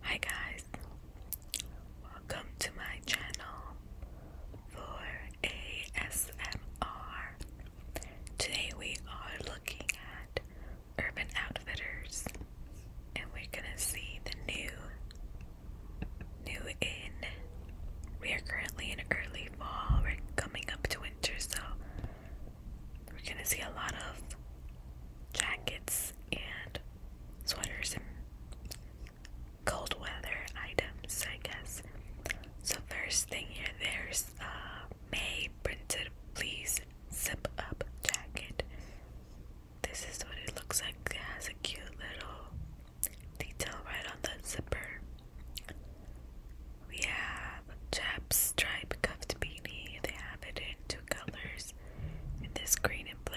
Hi guys, welcome to my channel for ASMR. Today we are looking at Urban Outfitters and we're gonna see the new, new in. We are currently in early fall, we're coming up to winter, so we're gonna see a lot of jackets and sweaters and cold weather items, I guess. So first thing here, there's a May printed please zip up jacket. This is what it looks like. It has a cute little detail right on the zipper. We have Chaps stripe cuffed beanie. They have it in two colors and this green and blue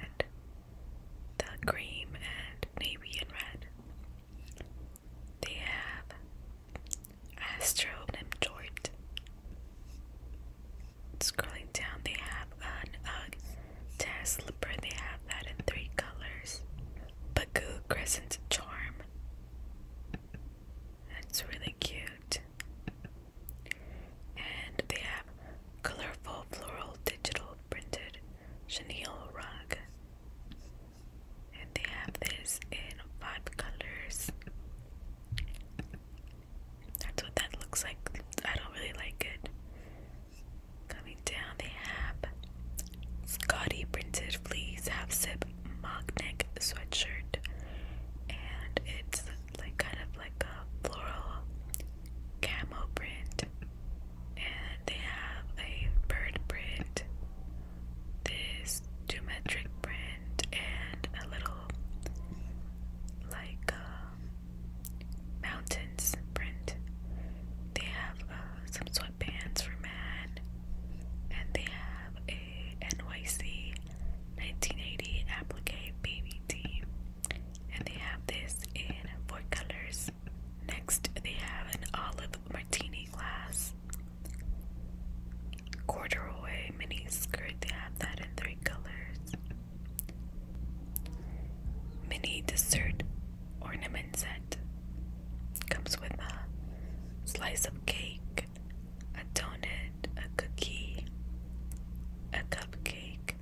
and the green and navy and red. They have Astro and Jort. Scrolling down, they have an Ugg Tag slipper. They have that in three colors. Bagoo Crescent Charm. That's really cute. And they have colorful floral digital printed chenille rug. And they have this in five colors. That's what that looks like. I don't really like it. Coming down, they have Scotty printed fleece half zip mock neck sweatshirt, and it's like kind of like a floral camo print, and they have a bird print, this geometric print, and a little like um, mountains print. They have uh, some sweatbands for men, and they have a NYC 1980 applique baby tee. And they have this in four colors. Next, they have an olive martini glass. Corduroy mini skirt, they have that in three colors. Mini dessert ornament set. Comes with a slice of cake, a donut, a cookie, a cupcake,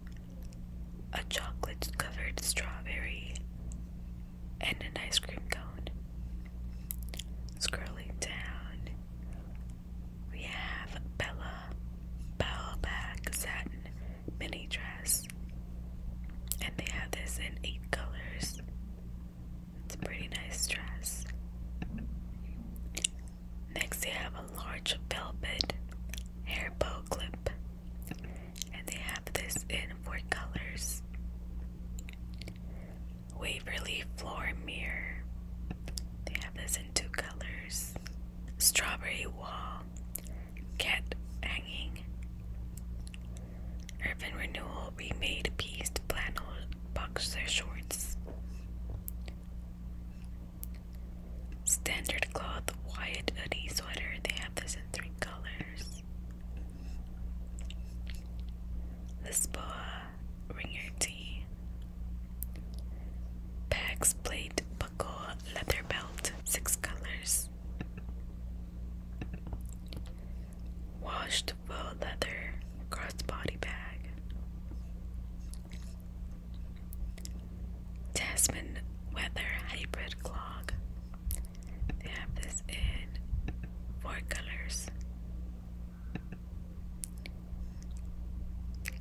a chocolate covered strawberry, and an ice cream cone. Scrolling down, we have Bella Bell Bag Satin Mini Dress, and they have this in eight colors. It's a pretty nice dress. Next, they have a large velvet hair bow clip, and they have this in four colors Waverly Floor Mirror, they have this in two colors Strawberry Wall, Cat Hanging, Urban Renewal Remade Pieced Flannel Boxer Shorts. Standard cloth white hoodie sweater. They have this in three colors. Lisboa ringer tee. Pax plate buckle leather belt. Six colors. Washed faux leather crossbody bag. Tasman Weather Hybrid Clog. They have this in four colors.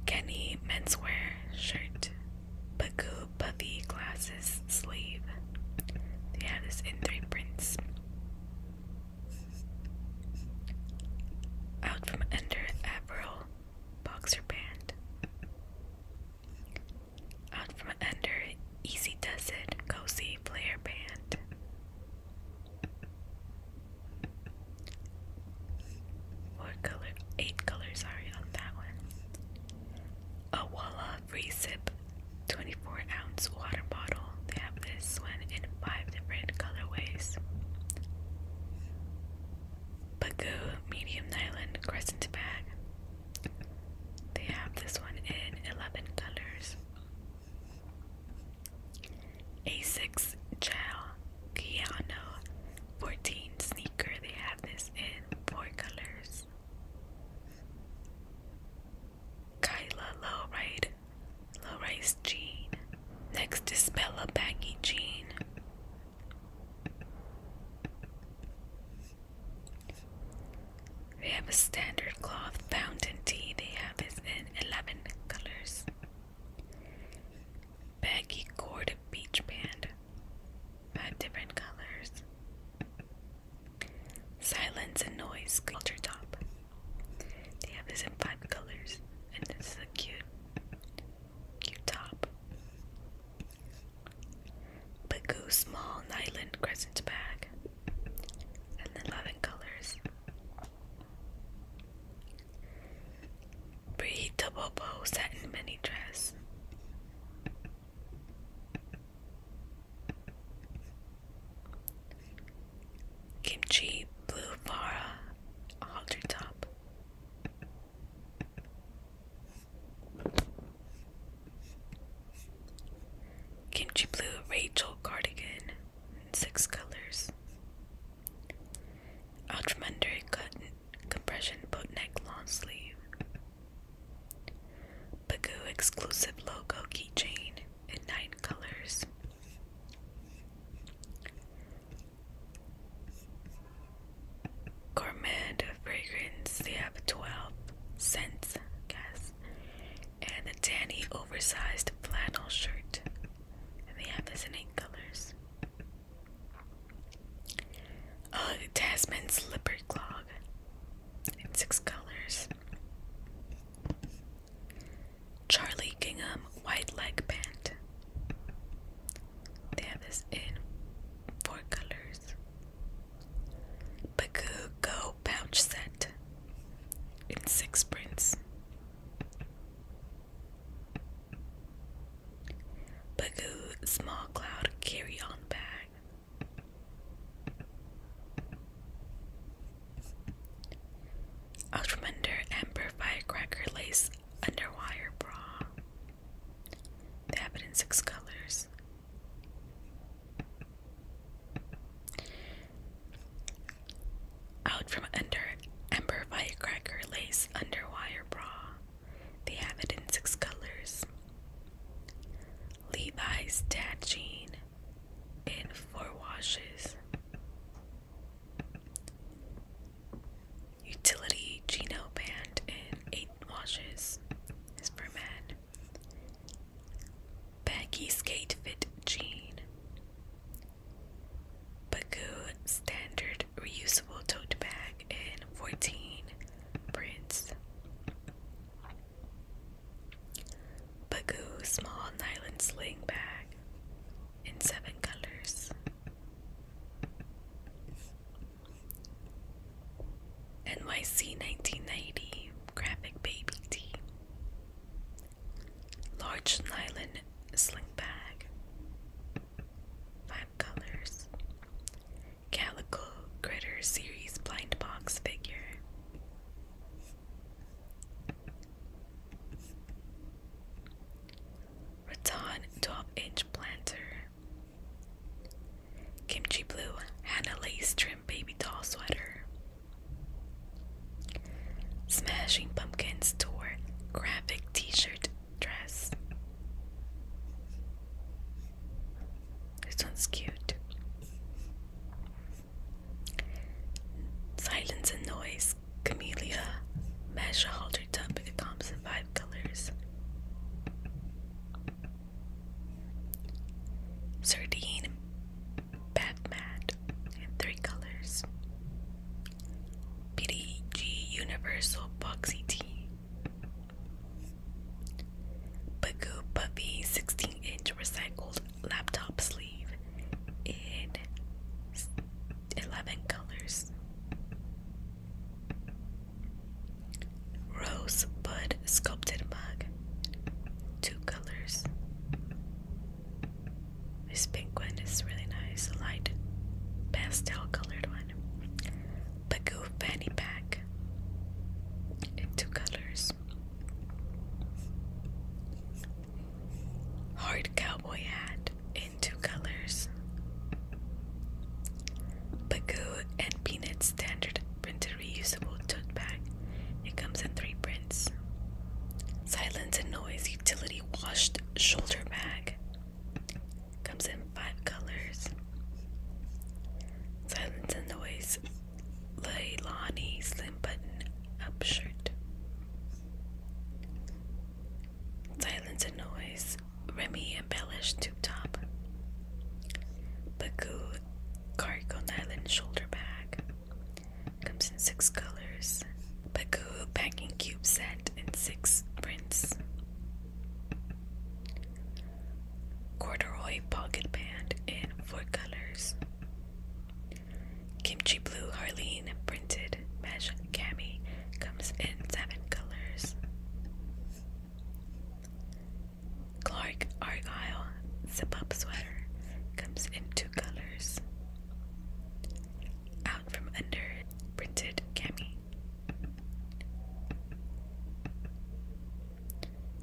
Kenny menswear shirt, Bagoo puffy glasses sleeve. They have this in three prints. Out from under Avril boxer pant. Out from under, easy does it, cozy player band. Four color, eight colors, sorry, on that one. A Walla free sip, 24 ounce water bottle. They have this one in five different colorways. Bagoo medium nylon crescent bag. They have this one in 11 colors. A6 Gel Keanu 14 sneaker. They have this in 4 colors. Kyla Low Ride, Low Rise Jean. Next is Bella Baggy Jean. They have a standard cloth fountain tea. They have this in 11 colors. Baggy corded beach band. Five different colors. Silence and noise culture top. They have this in five colors. And this is cute cute top. Bagoo small Nyland crescent bag. And then eleven colors. Bree double bow satin mini dress. Kimchi blue Mara halter top. Kimchi Blue Rachel Cardigan in six colors. Out from under cotton compression boat neck long sleeve. Bagoo exclusive logo keychain in nine colors. Gourmet fragrance, they have 12 cents, I And the tanny oversized flannel shirt. And they have this in eight colors. Oh, Tasman slipper clog in six colors. Charlie Gingham white leg pant. They have this in four colors. Bagoo Go pouch set in six prints. Bagoo small cloud carry on bag. Outrunder Amber Firecracker Lace underwire bra. They have it in six colors. Out from under Ember Firecracker Lace Underwire Bra. They have it in six colors. Levi's Dad Jean in four washes. Utility Geno banned in eight washes is for men. Baggy skate fit jean. Bagoo standard reusable tote bag in 14 prints. Bagoo small nylon sling bag in seven colors. NYC 1990 graphic baby tee. Large nylon sling bag. Five colors. Calico Critter Series blind box figure. Rattan 12-inch planter. Kimchi Blue Hannah Lace trimmed Baby Doll Sweater. Smashing Pumpkins Tour Graphic T-shirt dress. This one's cute. Silence and Noise Camellia mesh halter tub. It comes in five colors. Sardine bath mat in three colors. PDG Universal Boxy Tee. Bagoo Puppy 16 inch recycled laptop sleeve in 11 colors Rose bud sculpted mug, two colors. This pink one is really nice, a light pastel colored one. Bagoo fanny pack in two colors. Hard cowboy hat two colors Bagoo and Peanut Standard Printed Reusable Tote Bag. It comes in three prints Silence and Noise Utility Washed Shoulder Bag. Comes in five colors Silence and Noise Leilani Slim Button Up Shirt. Silence and noise. Remy embellished tube top. Bagoo Caricon Island shoulder bag. Comes in six colors. Bagoo packing cube set in six prints. Corduroy pocket band in four colors. Kimchi Blue Harleen printed mesh cami comes in seven colors. Clark Argyle zip up sweater comes in two colors. Out from under printed cami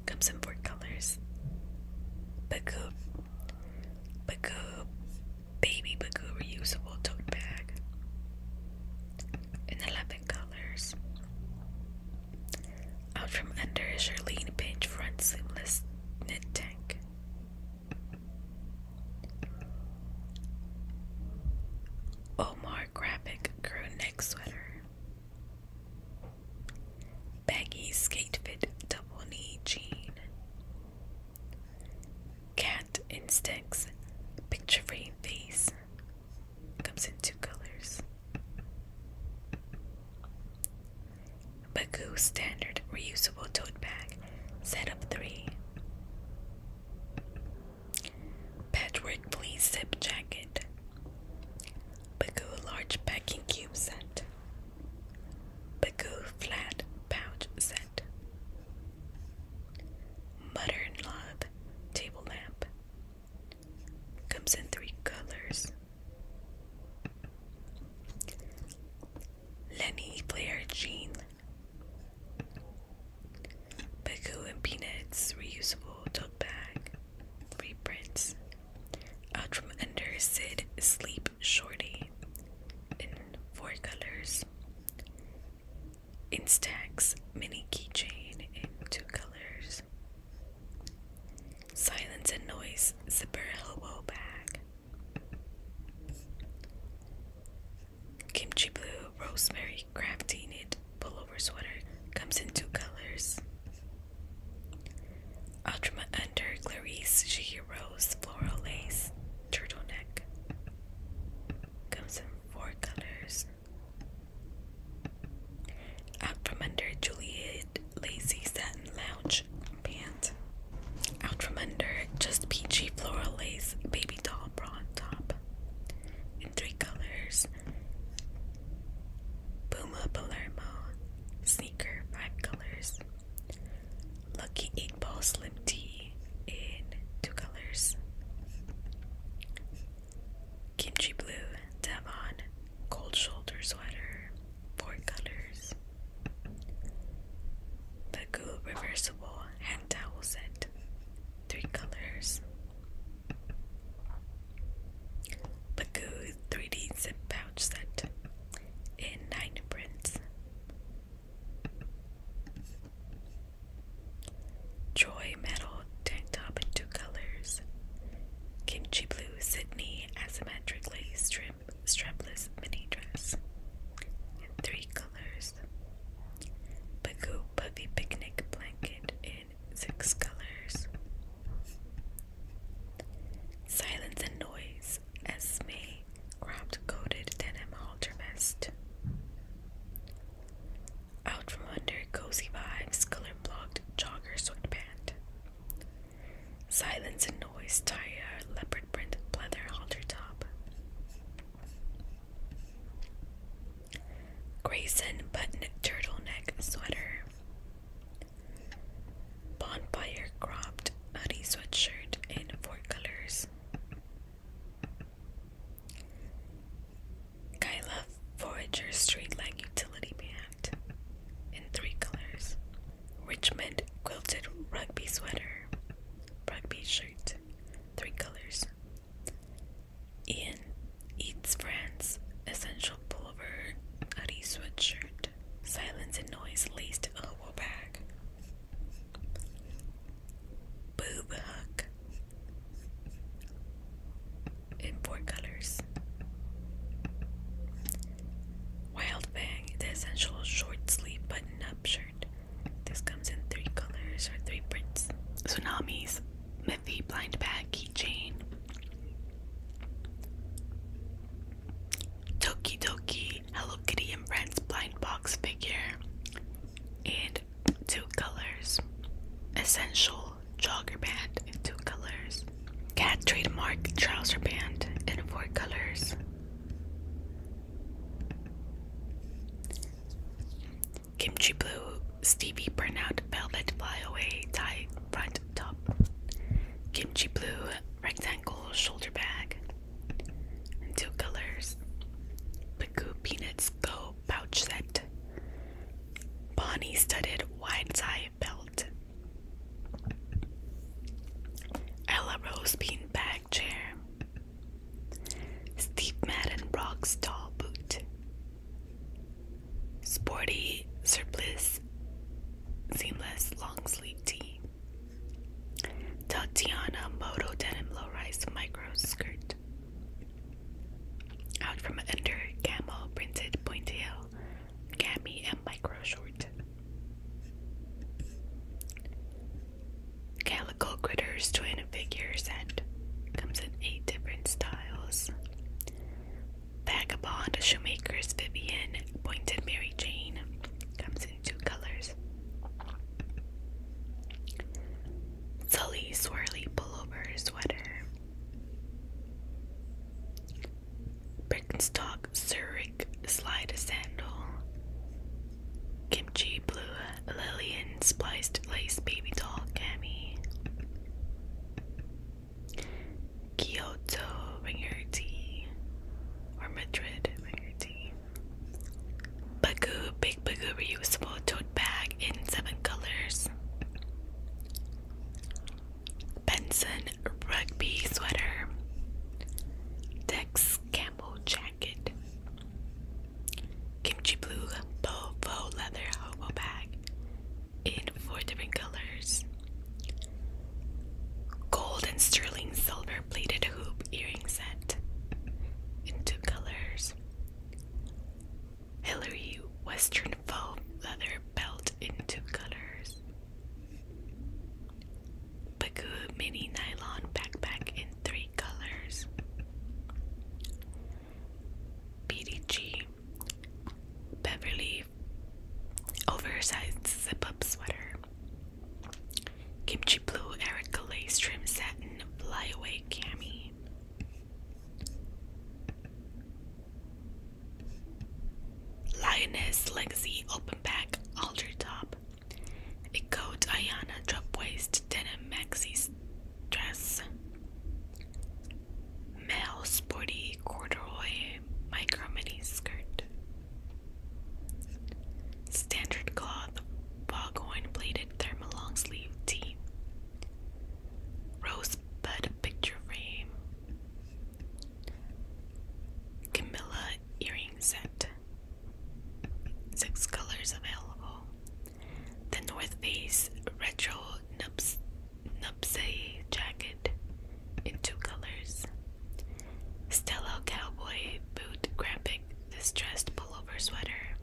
comes in four colors. Bagoop, Bagoop, baby Bagu reusable tote bag in 11 colors. Out from under is your pinch front seamless knit tank. Omar graphic crew neck sweater. Baggy skate fit double knee jean. Cat Instincts Picture Frame Face comes in two colors. Bagoo Standard Reusable Tote Bag Set of Three. Patchwork Fleece Zip Jacket. Bagoo Large Packing Cube Set. Bagoo Flat Pouch Set. Modern Love table lamp comes in three colors. Lenny Blair Jean. Bagoo and Peanuts reusable tote bag. Free prints. Out from under Sid Sleep Shorty in four colors. Instax mini keychain in two colors. Silence and Noise Zipper Elbow Bag. Kimchi Blue Rosemary Crafty Knit Pullover Sweater comes in two colors. Ultima Under Clarice Shihiro rose floral lace turtleneck. Comes in four colors. Out from under Juliet lacy satin lounge pant. Out from under just peachy floral lace baby doll bra on top. In three colors. Puma Palermo sneaker, five colors. Lucky 8 Ball Slim Tea in two colors Kimchi Blue Devon Cold Shoulder Sweater, four colors. The Ghoul Reversible Hand Towel Set, three colors. The Goo 3D Zip Pouch Set in nine prints. Joy metal tank top in two colors. Kimchi blue Sydney asymmetrically strip strapless mini dress in three colors. Bagoo puffy picnic blanket in six colors. Silence and noise Esme cropped coated denim halter vest. Out from under cozy vibes, color blocked jogger sweatpant. Silence and noise tie leopard print pleather halter top. Grayson button turtleneck sweater. Bonfire cropped hoodie sweatshirt in four colors. Kyla Forager Streetlight Utility Band in three colors. Richmond Quilted Rugby Sweater. Rugby shirt. Three colors. Ian Eats France Essential Pullover Hoodie Sweatshirt. Silence and Noise Laced Elbow Bag boob hook in four colors. Wild Bang, the essential short sleeve button up shirt. This comes in three colors or three prints. Tsunami's Miffy blind bag keychain. Toki Toki Hello Kitty and Friends blind box figure in two colors. Essential jogger band in two colors. Cat trademark trouser band in four colors. Kimchi Blue Stevie Burnout Velvet Flyaway Tie Front Top. Kimchi Blue Rectangle Shoulder Bag two colors. Picoo Peanuts Go pouch set. Bonnie studded wide tie belt. Ella Rose bean bag chair. Steve Madden Brock's tall boot. Sporty surplice seamless long sleeve tee. Tatiana Moto Denim Low Rise Micro Skirt. Out from under camel printed pointail, cami and micro short. Calico critters twin figures set. Comes in eight different styles. Vagabond Shoemaker's Vivian Pointed Mary Jane. Comes two colors Sully swirly pullover sweater. Birkenstock Zurich slide sandal. Kimchi blue Lillian spliced lace baby cami. Kyoto ringer tea or Madrid ringer tea. Bagoo Big Bagoo reusable tote bag in seven colors. Benson rugby sweater. Dex Campbell jacket. Kimchi blue bovo leather hobo bag in four different colors. Gold and sterling silver plated hoop earring set in two colors. Hillary Western foam leather belt two colors. Bagoo mini nylon backpack in three colors. BDG Beverly oversized zip up sweater Kimchi Blue, Eric Calais, Trim Satin, Flyaway Cami. Lioness, Legacy, Open Back, Alder Top. A coat, Ayana, Drop Waist, Denim, Maxi Dress. Male, Sporty, Corduroy, Micro Mini Skirt. Standard cloth foghorn bladed thermal long sleeve tee. Rosebud picture frame. Camilla earring set. Six colors available. The North Face retro nubsay jacket in two colors. Stella cowboy boot graphic distressed pullover sweater.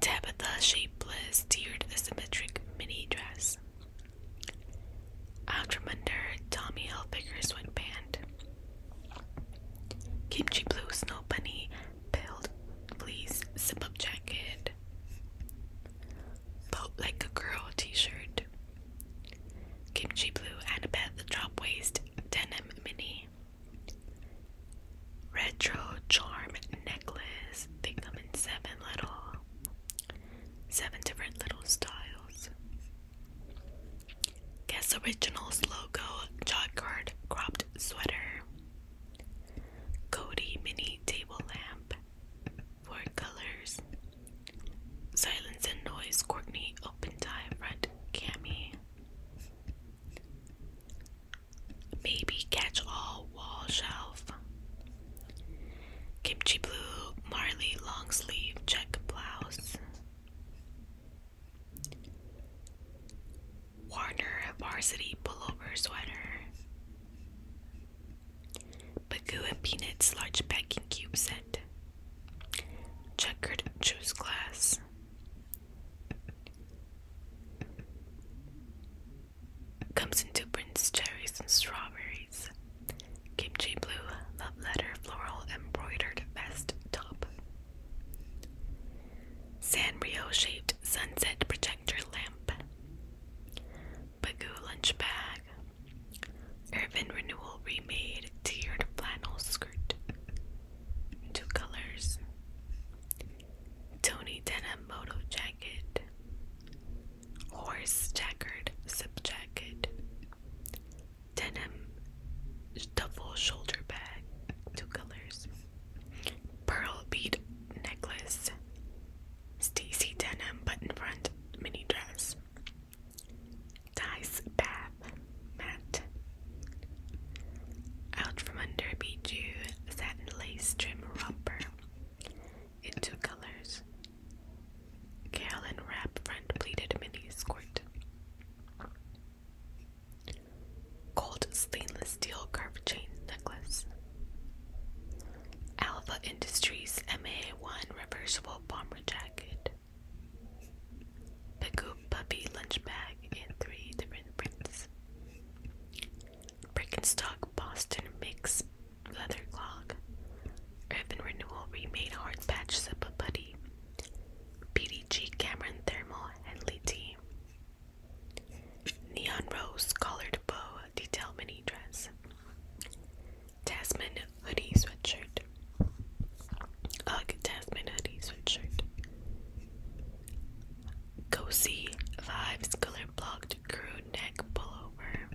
Tabitha shapeless tiered asymmetric mini dress. Out from under Tommy Hilfiger sweatband. Kimchi blue snow bunny pilled fleece zip up jacket. Boat like a girl t-shirt. Kimchi Blue Annabeth Drop Waist Denim Mini. Retro Charm Necklace. They come in seven little, seven different little styles. Guess Originals logo jog cropped sweater. Cody Mini Table Lamp. Four colors. Silence and Noise, Courtney, Open Time, Red, Cammy. Maybe Catch All, Wall Shelf. Kimchi Blue, Marley, Long Sleeve, Check Blouse. Warner, Varsity, Pullover, Sweater. Bagoo Peanuts, Large Packing Cube Set. Checkered juice glass. Comes in two prints, cherries and strawberries. Kimchi blue love letter floral embroidered vest top. Sanrio shaped sunset projector lamp. Bagoo lunch bag. Urban Renewal remade tiered flannel skirt. Two colors. Tony Denim Moto Jacket. Horse Checkered Zip Jacket. Denim double Shoulder Bag. Two colors. Pearl Bead Necklace. Stacy Denim Button Front Mini Dress. Dice Bath mat. Out from under Bijou satin lace trim romper in two colors. Gale and wrap front pleated mini skirt. Gold stainless steel curved chain necklace. Alpha Industries MA1 reversible bomber jacket. Pug Puppy Lunch Bag in three different prints. Birkenstock Boston Mix Leather Clog. Urban Renewal Remade Hard Patch Zippa Putty. PDG Cameron Thermal Henley Tea. Neon Rose Collared Bow Detail Mini Dress. Tasman hoodie sweatshirt. Ugh, Tasman hoodie sweatshirt. Cozy Vibes color blocked crew neck pullover.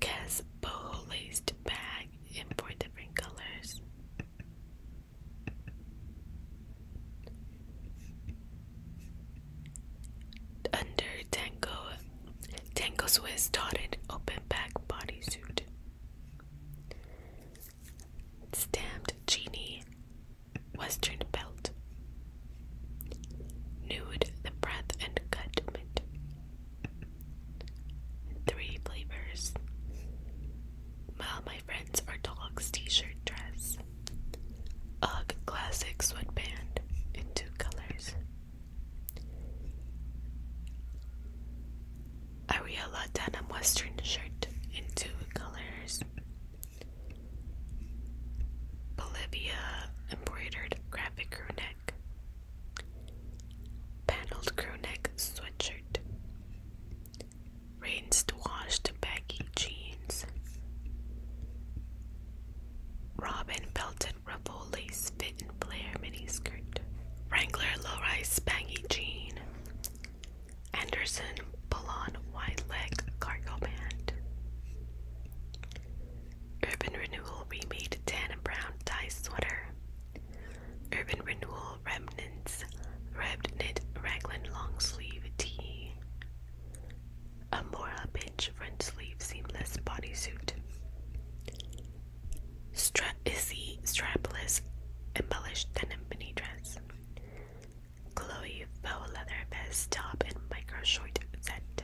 Cas boho laced bag in four different colors under Tango Tango Swiss dotted open back bodysuit. Stamped genie western belt. Nude the breath and cut mint. Three flavors. Well, my friends are dogs t-shirt dress. Ugg classic sweatband in two colors. Ariola denim western shirt in two colors. Bolivia embroidered graphic crew neck. Paneled crew neck sweatshirt. Rinsed washed baggy jeans. Robin belted and ruffle lace fit and flare miniskirt, Wrangler low-rise baggy jean. Anderson Polon wide leg cargo band. Urban Renewal remade tan and brown dye sweater. Urban Renewal remnants, reverend knit raglan long sleeve tee. A Mora Pinch front sleeve seamless bodysuit. Stra strapless embellished denim mini dress. Chloe faux leather vest top and micro short set.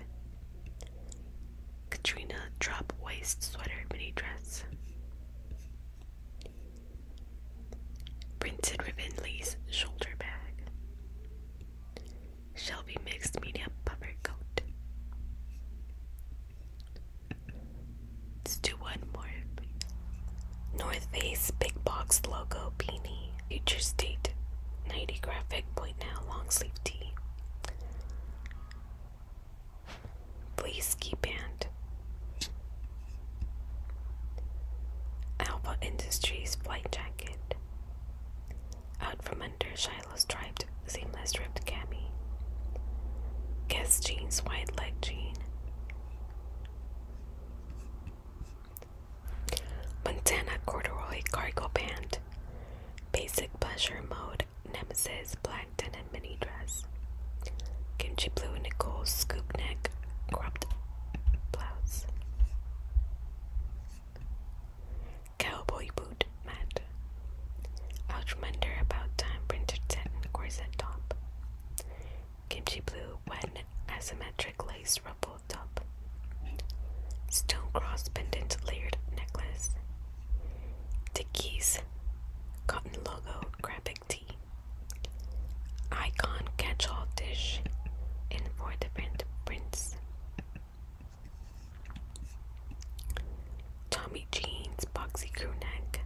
Katrina drop waist sweater mini dress. Printed ribbon lace shoulder bag. Shelby Mixed media Puffer Coat. Let's do one more. North Face Big Box Logo Beanie. Future State 90 Graphic Point Now Long Sleeve Tee. Fleece Ski Band. Alpha Industries Flight Jacket. Out from under Shine nylon-striped, seamless-ripped cami, Guess jeans, white leg jean. Montana corduroy cargo pant, basic pleasure mode, nemesis, black denim mini dress, kimchi blue nickel, scoop neck, cropped blouse, cowboy boot mat. Outmander about time printed satin corset top. Kimchi blue when asymmetric lace ruffled top. Stone cross pendant layered necklace. Dickies cotton logo graphic tee. Icon catch dish in four different prints. Tommy Jeans boxy crew neck.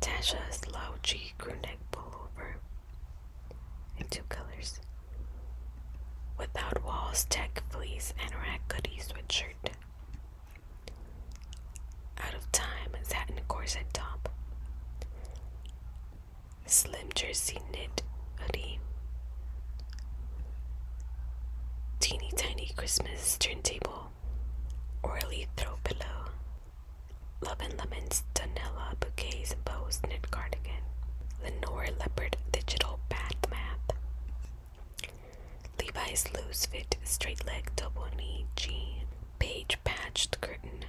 Tasha's low key crew neck pullover in two colors. Without Walls Tech Fleece and Hoodie Sweatshirt. Out of Time Satin Corset Top slim jersey knit hoodie, teeny tiny Christmas turntable, Orly throw pillow, Love and Lemon's Danella bouquets and bows knit cardigan, Lenore leopard digital bath mat, Levi's loose fit straight leg double knee jean, Page patched curtain.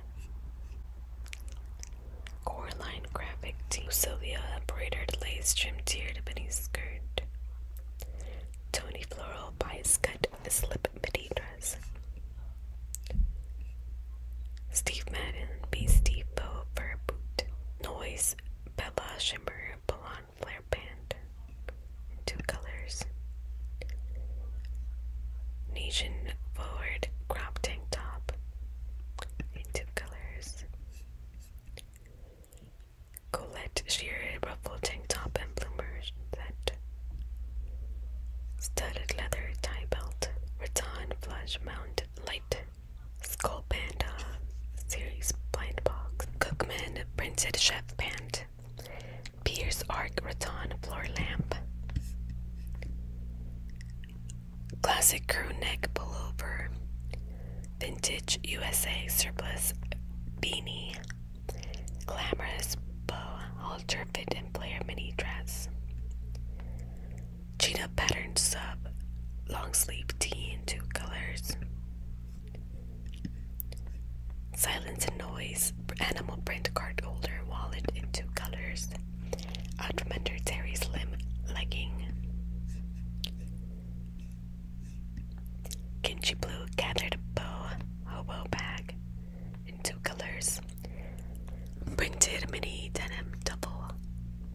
Coraline graphic tee. Sylvia a braided lace trim tiered mini skirt. Tony floral bias cut slip midi dress. Steve Madden Beastie Bow Fur Boot. Noise Bella Shimmer Blonde Flare Band. Two colors. Nation forward crop tank top in two colors. Colette sheer ruffled tank top and bloomers set. Studded leather tie belt, rattan flush mount light, skull panda, uh, series blind box, Cookman printed chef pant, Pierce arc rattan floor lamp, Classic crew neck pullover. Vintage USA surplus beanie. Glamorous bow halter fit and player mini dress. Cheetah pattern sub. Long sleeve tee in two colors. Silence and noise. Animal print card holder wallet in two colors out from under Terry's limp legging. Kinchi Blue gathered bow hobo bag in two colors. Printed mini denim double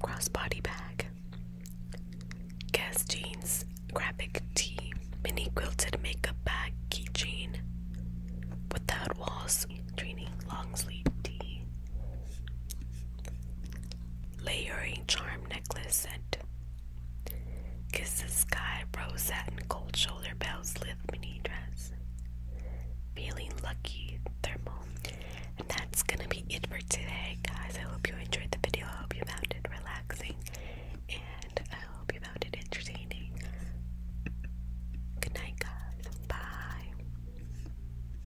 crossbody bag. Guess jeans graphic tee mini quilted makeup bag keychain. Without walls training long sleeve tee layering charm necklace set. Kiss the sky rose satin gold shoulder belts, lift mini dress. Feeling lucky thermal. And that's gonna be it for today, guys. I hope you enjoyed the video. I hope you found it relaxing. And I hope you found it entertaining. Good night, guys. Bye.